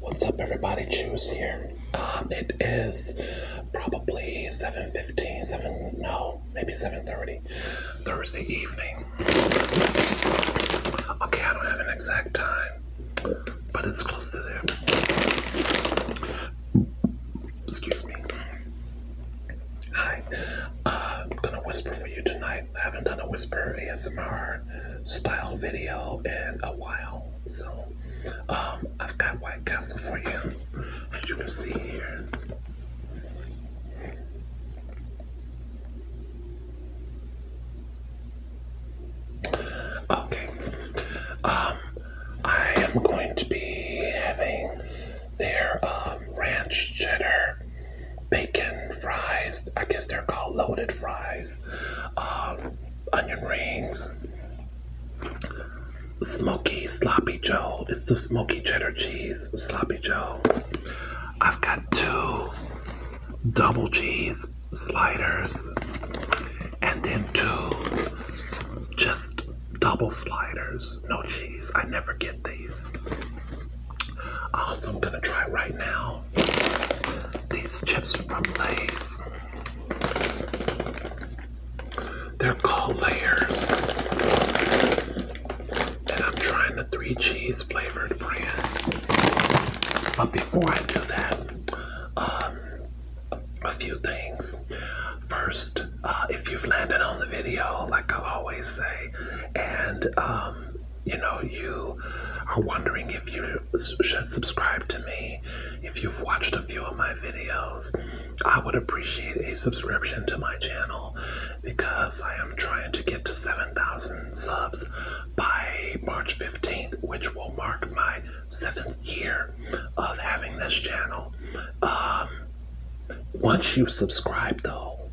What's up, everybody? Choose here. Um, it is probably 7.15, no, maybe 7.30, Thursday evening. Okay, I don't have an exact time, but it's close to there. Excuse me. Hi. Uh, I'm gonna whisper for you tonight. I haven't done a whisper ASMR style video in a while, so um, I've got White Castle for you, as you can see here. Okay, um, I am going to be having their um, ranch cheddar bacon fries. I guess they're called loaded fries. Um, onion rings. Smoky Sloppy Joe. It's the smoky cheddar cheese Sloppy Joe. I've got two double cheese sliders and then two just double sliders. No cheese. I never get these. Also, I'm gonna try right now these chips from Lay's. They're called layers, and I'm trying the three cheese flavored brand. But before I do that, um, a few things. First, uh, if you've landed on the video, like I always say, and um, you know, you are wondering if you should subscribe to me, if you've watched a few of my videos, I would appreciate a subscription to my channel because I am trying to get to 7,000 subs by March 15th, which will mark my seventh year of having this channel. Um, once you subscribe, though,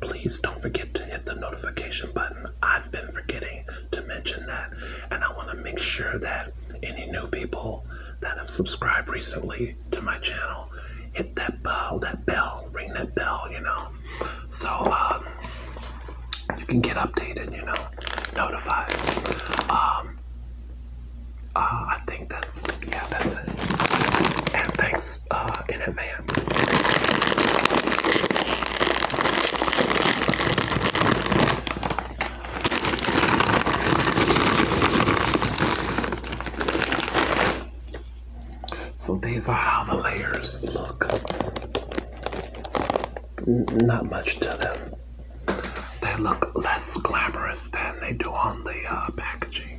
Please don't forget to hit the notification button. I've been forgetting to mention that, and I want to make sure that any new people that have subscribed recently to my channel hit that bell, that bell, ring that bell, you know, so um, you can get updated, you know, notified. Um, uh, I think that's yeah, that's it. And thanks uh, in advance. So these are how the layers look. not much to them. They look less glamorous than they do on the uh, packaging.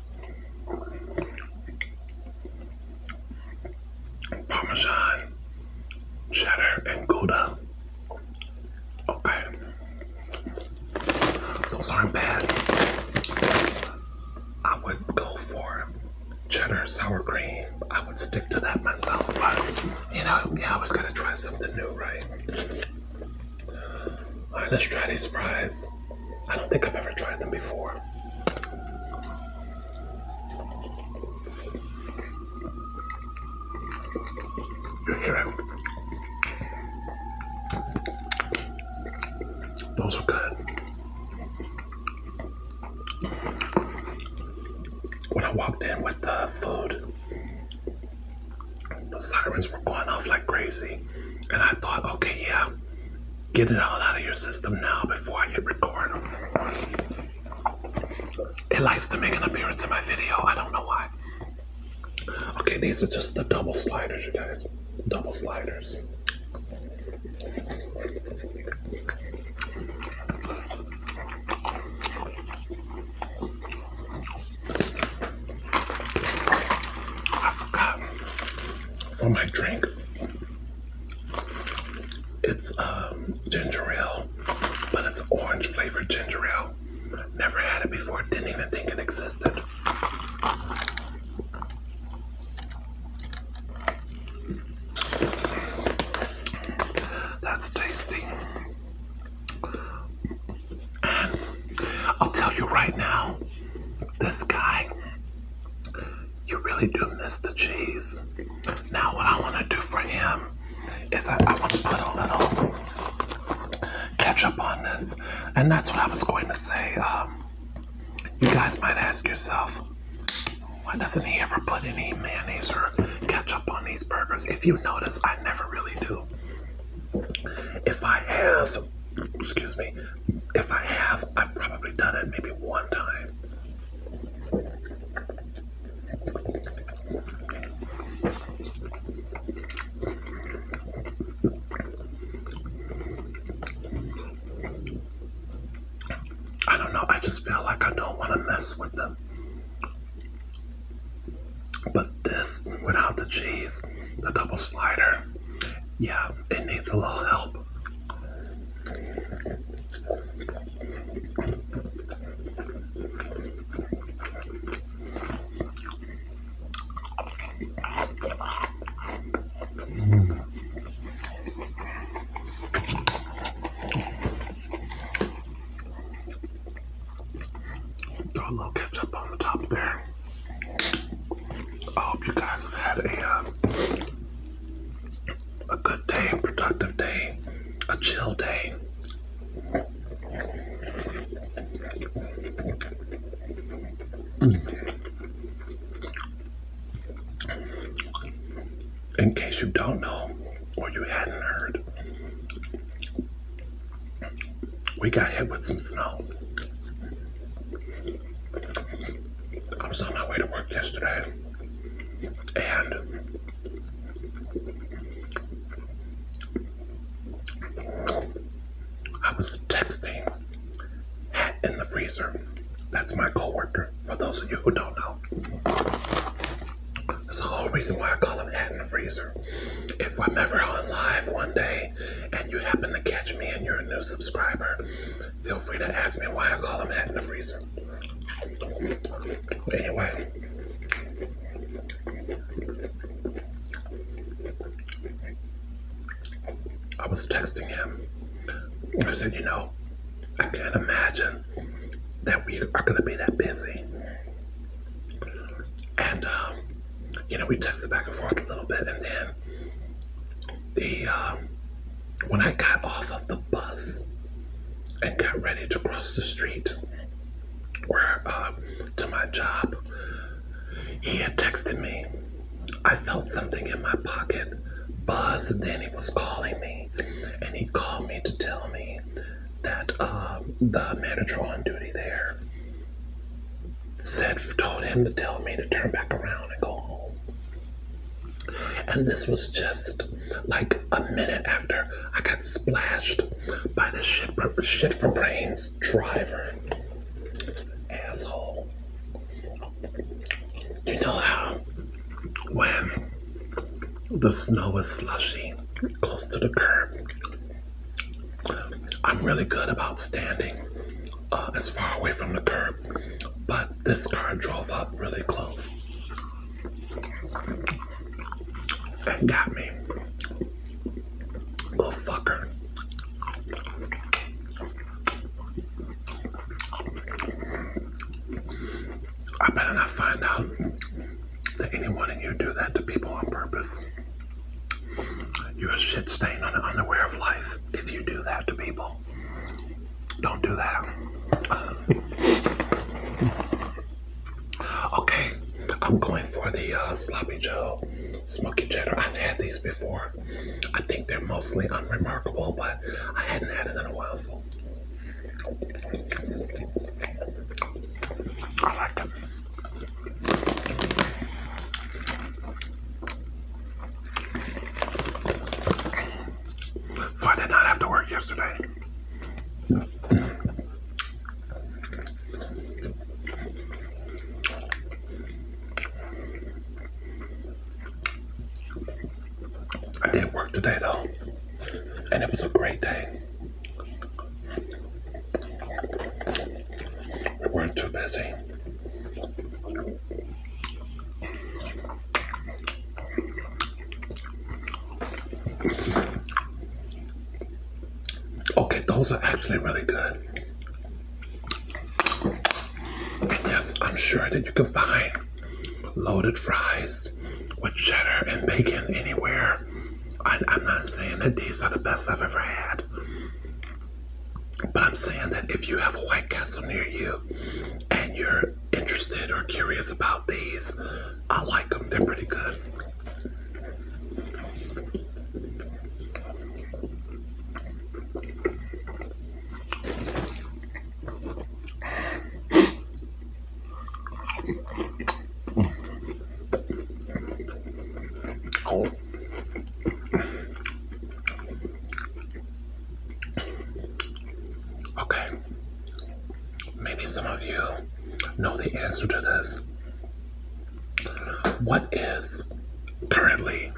Parmesan, cheddar, and Gouda. Okay. Those aren't bad. I would go for cheddar sour cream. I would stick to that myself, but you know, I was going to try something new, right? All right, let's try these fries. I don't think I've ever tried them before. Those were good. When I walked in with the food, the sirens were going off like crazy. And I thought, okay, yeah, get it all out of your system now before I hit record. It likes to make an appearance in my video. I don't know why. Okay, these are just the double sliders, you guys. Double sliders. I forgot for my drink. It's um, ginger ale, but it's orange flavored ginger ale. Never had it before, didn't even think it existed. That's tasty. I'll tell you right now, this guy, you really do miss the cheese. Now, what I want to do for him is I, want to put a little ketchup on this. And that's what I was going to say. Um, you guys might ask yourself, why doesn't he ever put any mayonnaise or ketchup on these burgers? If you notice, I never really do. If I have excuse me, if I have, I've probably done it maybe one time. I don't know, I just feel like I don't want to mess with them. But this, without the cheese, the double slider, yeah, it needs a little help. Throw a little ketchup on the top there. I hope you guys have had a um, a good day, productive day, a chill day. Mm. In case you don't know or you hadn't heard, we got hit with some snow. I was on my way to work yesterday and I was texting hat in the freezer. That's my coworker, for those of you who don't know. That's the whole reason why I call him hat in the freezer. If I'm ever on live one day and you happen to catch me and you're a new subscriber, feel free to ask me why I call them hat in the freezer. Anyway. I was texting him. I said, you know, I can't imagine that we are going to be that busy. And um, you know, we texted back and forth a little bit, and then the um, when I got off of the bus and got ready to cross the street, where uh, to my job, he had texted me. I felt something in my pocket Buzzed, and then he was calling me, and he called me to tell me that um, the manager on duty there Seth told him to tell me to turn back around and go home. And this was just like a minute after I got splashed by the shit, shit for brains driver. Asshole. You know how when the snow is slushy close to the curb I'm really good about standing uh, as far away from the curb, but this car drove up really close and got me. Little fucker. I better not find out that anyone of you do that to people on purpose. You're a shit stain on the underwear of life if you do that to people. Don't do that. okay, I'm going for the uh, sloppy joe smoky cheddar. I've had these before. I think they're mostly unremarkable, but I hadn't had it in a while, so I like them. So I did not have to work yesterday. I did work today though, and it was a great day. We're too busy. Okay, those are actually really good. And yes, I'm sure that you can find loaded fries with cheddar and bacon anywhere. I'm not saying that these are the best I've ever had, but I'm saying that if you have a White Castle near you and you're interested or curious about these, I like them. They're pretty good. Oh. Okay, maybe some of you know the answer to this. What is currently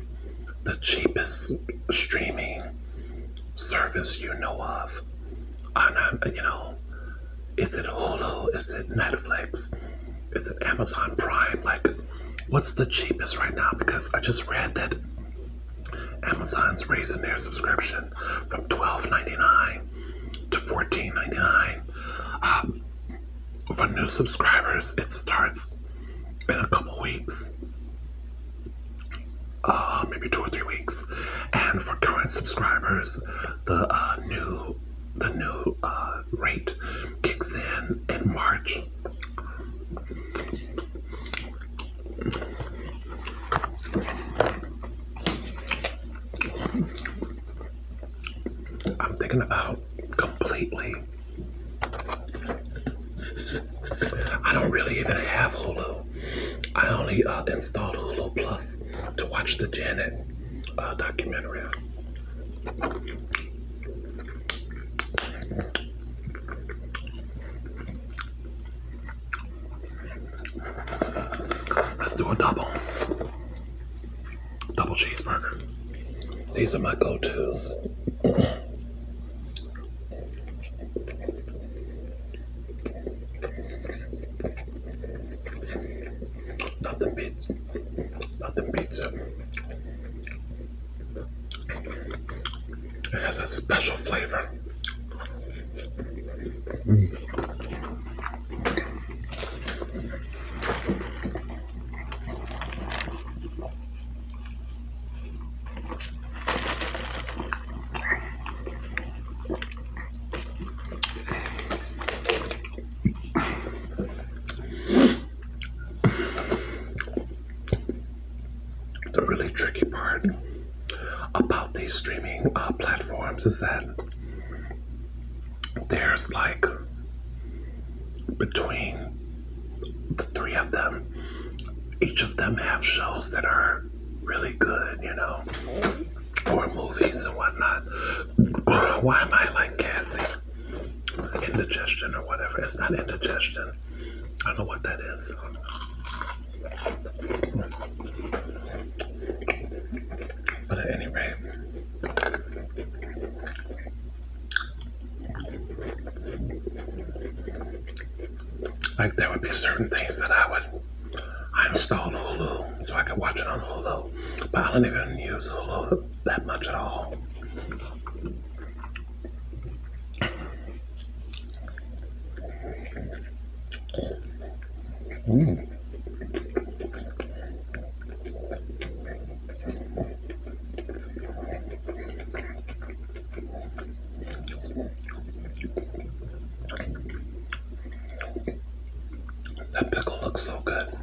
the cheapest streaming service you know of? On, you know, is it Hulu? Is it Netflix? Is it Amazon Prime? Like, what's the cheapest right now? Because I just read that Amazon's raising their subscription from twelve ninety nine to fourteen ninety nine. Um, for new subscribers, it starts in a couple weeks, uh, maybe two or three weeks, and for current subscribers, the uh, new the new uh, rate kicks in in March. I'm thinking about completely. I don't really even have Hulu. I only uh, installed Hulu Plus to watch the Janet uh, documentary. Let's do a double. Double cheeseburger. These are my go-tos. Nothing beats nothing the pizza, It has a special flavor. The really tricky part about these streaming uh, platforms is that there's like between the three of them, each of them have shows that are really good, you know, or movies and whatnot. Why am I like gassy? indigestion or whatever. It's not indigestion. I don't know what that is. But at any rate, like there would be certain things that I would I installed Hulu so I could watch it on Hulu, but I don't even use Hulu that much at all. Mm. That pickle looks so good.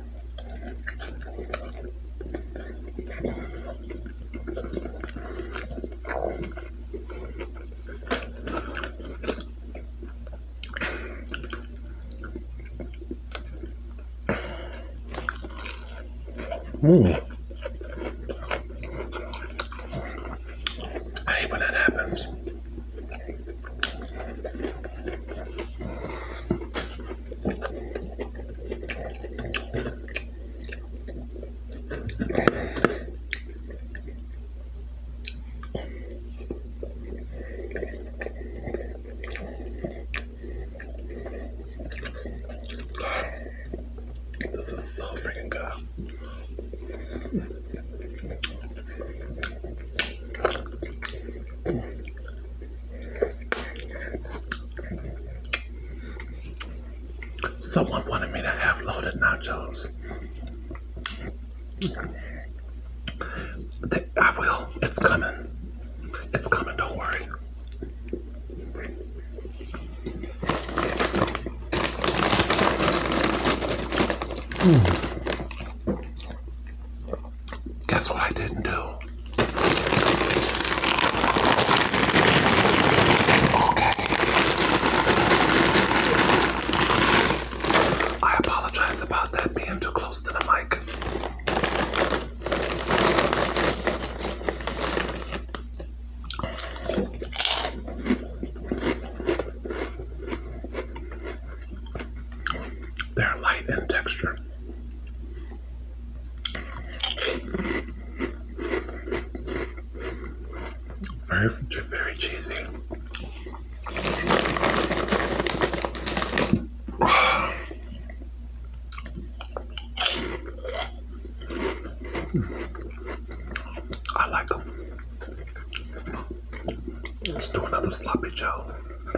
Mm. I hate when that happens. This is so freaking good. Someone wanted me to have loaded nachos. I will. It's coming. It's coming. Don't worry. Hmm. Guess what I didn't do? Okay. I apologize about that being too close to the mic. They're light in texture. Very, very cheesy. I like them. Let's do another sloppy joe.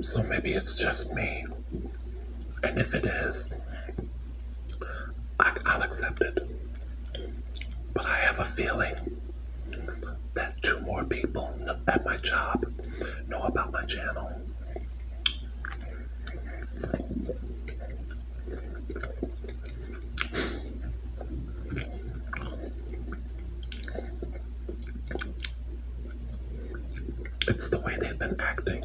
So maybe it's just me. And if it is, I, will accept it. But I have a feeling that two more people at my job know about my channel. It's the way they've been acting.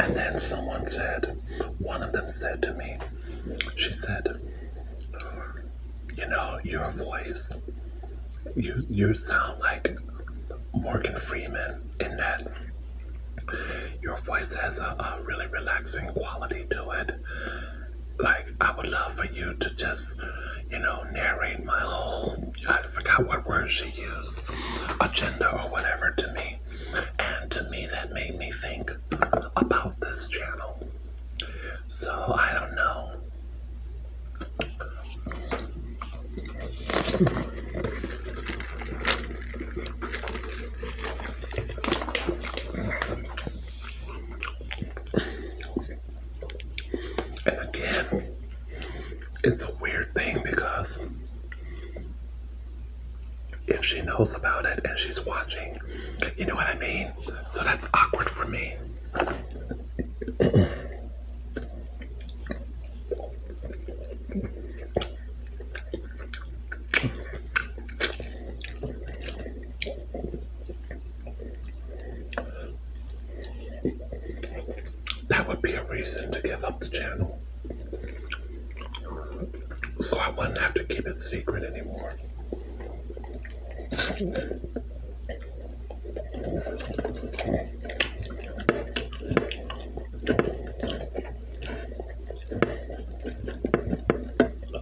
And then someone said, one of them said to me, she said, you know, your voice, you you sound like Morgan Freeman in that your voice has a, a really relaxing quality to it like I would love for you to just, you know, narrate my whole I forgot what word she used, agenda or whatever to me. And to me that made me think about this channel. So I don't know. And again, it's a weird thing because if she knows about it and she's watching, you know what I mean? So that's awkward for me. That would be a reason to give up the channel. So I wouldn't have to keep it secret anymore.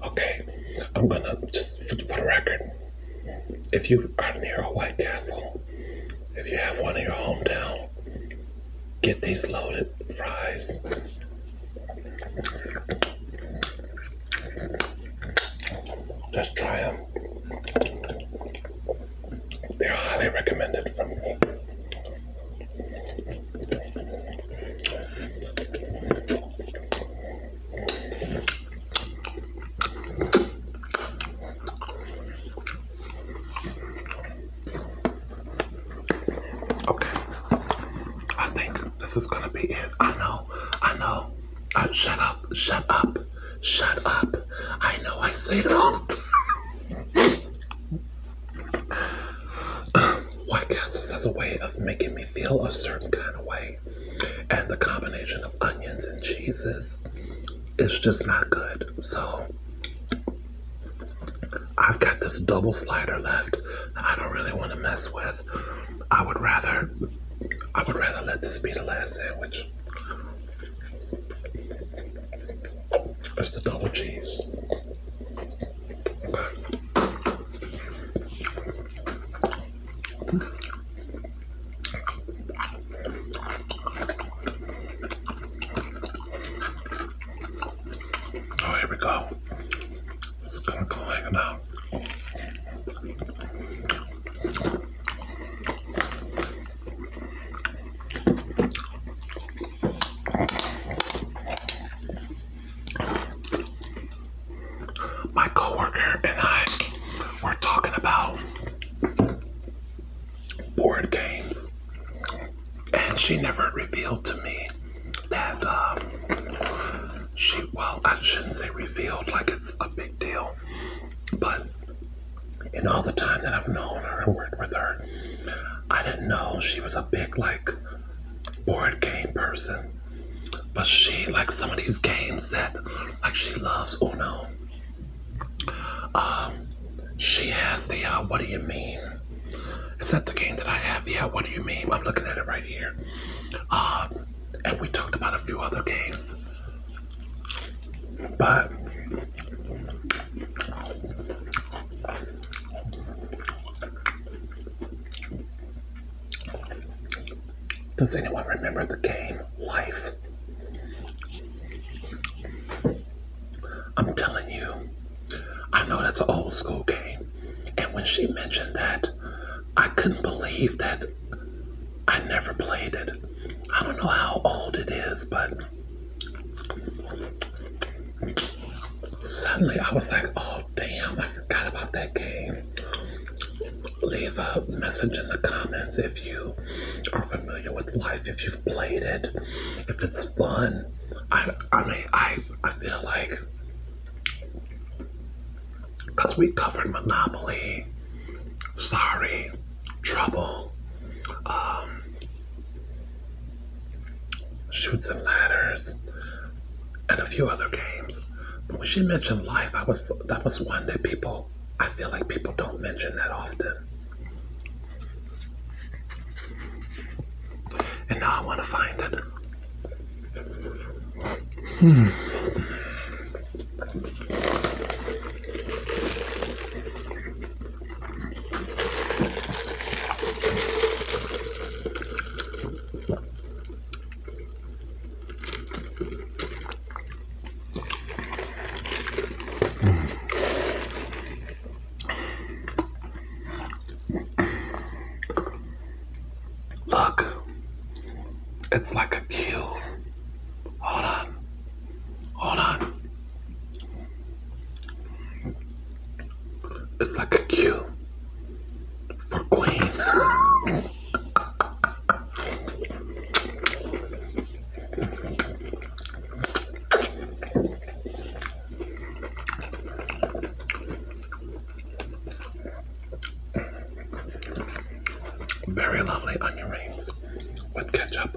Okay, I'm gonna just for, for the record, if you are near a White Castle, if you have one in your hometown, get these loaded fries. Just try them. They're highly recommended from me. Okay, I think this is gonna be it. I know, I know. I, uh, shut up, shut up, shut up. I know I say it all the time. White Castles has a way of making me feel a certain kind of way. And the combination of onions and cheeses is just not good. So I've got this double slider left I don't really want to mess with. I would rather I would rather let this be the last sandwich. It's the double cheese. Oh, here we go. This is gonna go like an my coworker and I were talking about board games, and she never revealed to me that um, she, well, I shouldn't say revealed like it's a big deal, but in all the time that I've known her and worked with her, I didn't know she was a big, like, board game person. But she likes some of these games that like she loves. Oh no. Um, she has the uh, what do you mean? Is that the game that I have? Yeah, what do you mean? I'm looking at it right here. Um, and we talked about a few other games. But does anyone remember the game Life? I'm telling you, I know that's an old school game. And when she mentioned that, I couldn't believe that I never played it. I don't know how old it is, but suddenly I was like, oh damn, I forgot about that game. Leave a message in the comments if you are familiar with life, if you've played it, if it's fun. I, I mean, I, I feel like because we covered Monopoly, Sorry, Trouble, um, Shoots and Ladders, and a few other games. But when she mentioned life, I was that was one that people I feel like people don't mention that often. And now I want to find it. Hmm. Look, it's like a queue. Hold on. Hold on. It's like a a Q for queen. Very lovely onion rings with ketchup.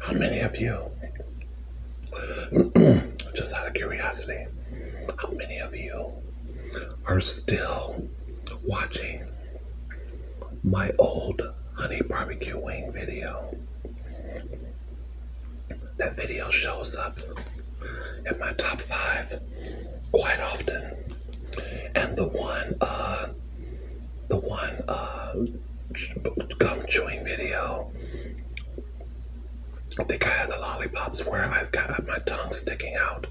How many of you, just out of curiosity, how many of you are still watching my old honey barbecue wing video? That video shows up in my top five quite often. And the one uh, the one uh, gum chewing video. I think I had the lollipops where I've got my tongue sticking out.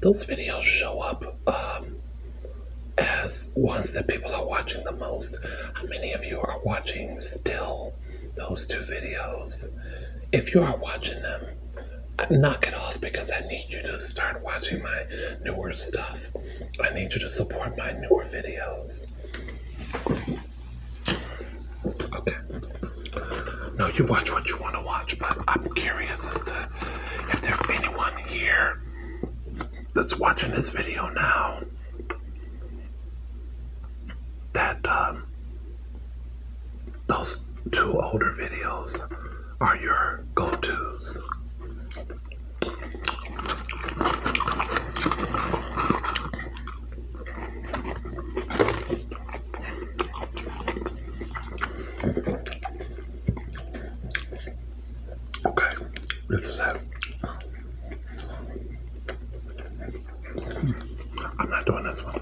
Those videos show up um, as ones that people are watching the most. How many of you are watching still those two videos? If you are watching them, knock it off because I need you to start watching my newer stuff. I need you to support my newer videos. Okay. No, you watch what you want to watch, but I'm curious as to if there's anyone here that's watching this video now that um, those two older videos are your go-tos. Okay, this is it. Hmm, I'm not doing this one.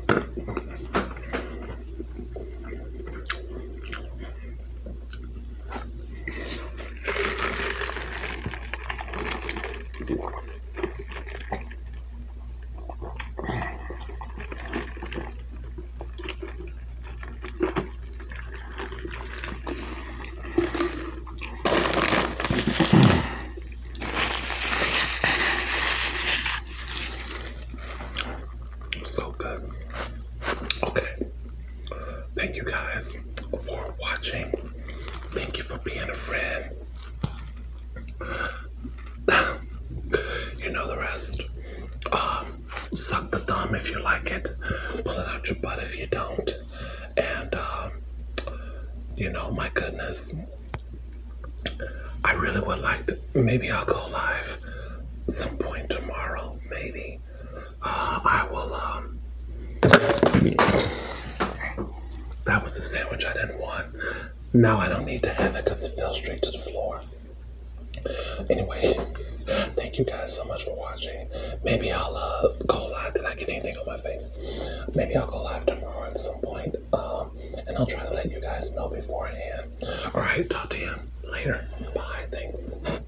So good. Okay. Thank you guys for watching. Thank you for being a friend. you know the rest. Um, suck the thumb if you like it. Pull it out your butt if you don't. And, um, you know, my goodness. I really would like to. Maybe I'll go live some point tomorrow. Maybe. I will. Um, that was the sandwich I didn't want. Now I don't need to have it because it fell straight to the floor. Anyway, thank you guys so much for watching. Maybe I'll uh, go live. Did I get anything on my face? Maybe I'll go live tomorrow at some um, and I'll try to let you guys know beforehand. All right, talk to you later. Bye. Thanks.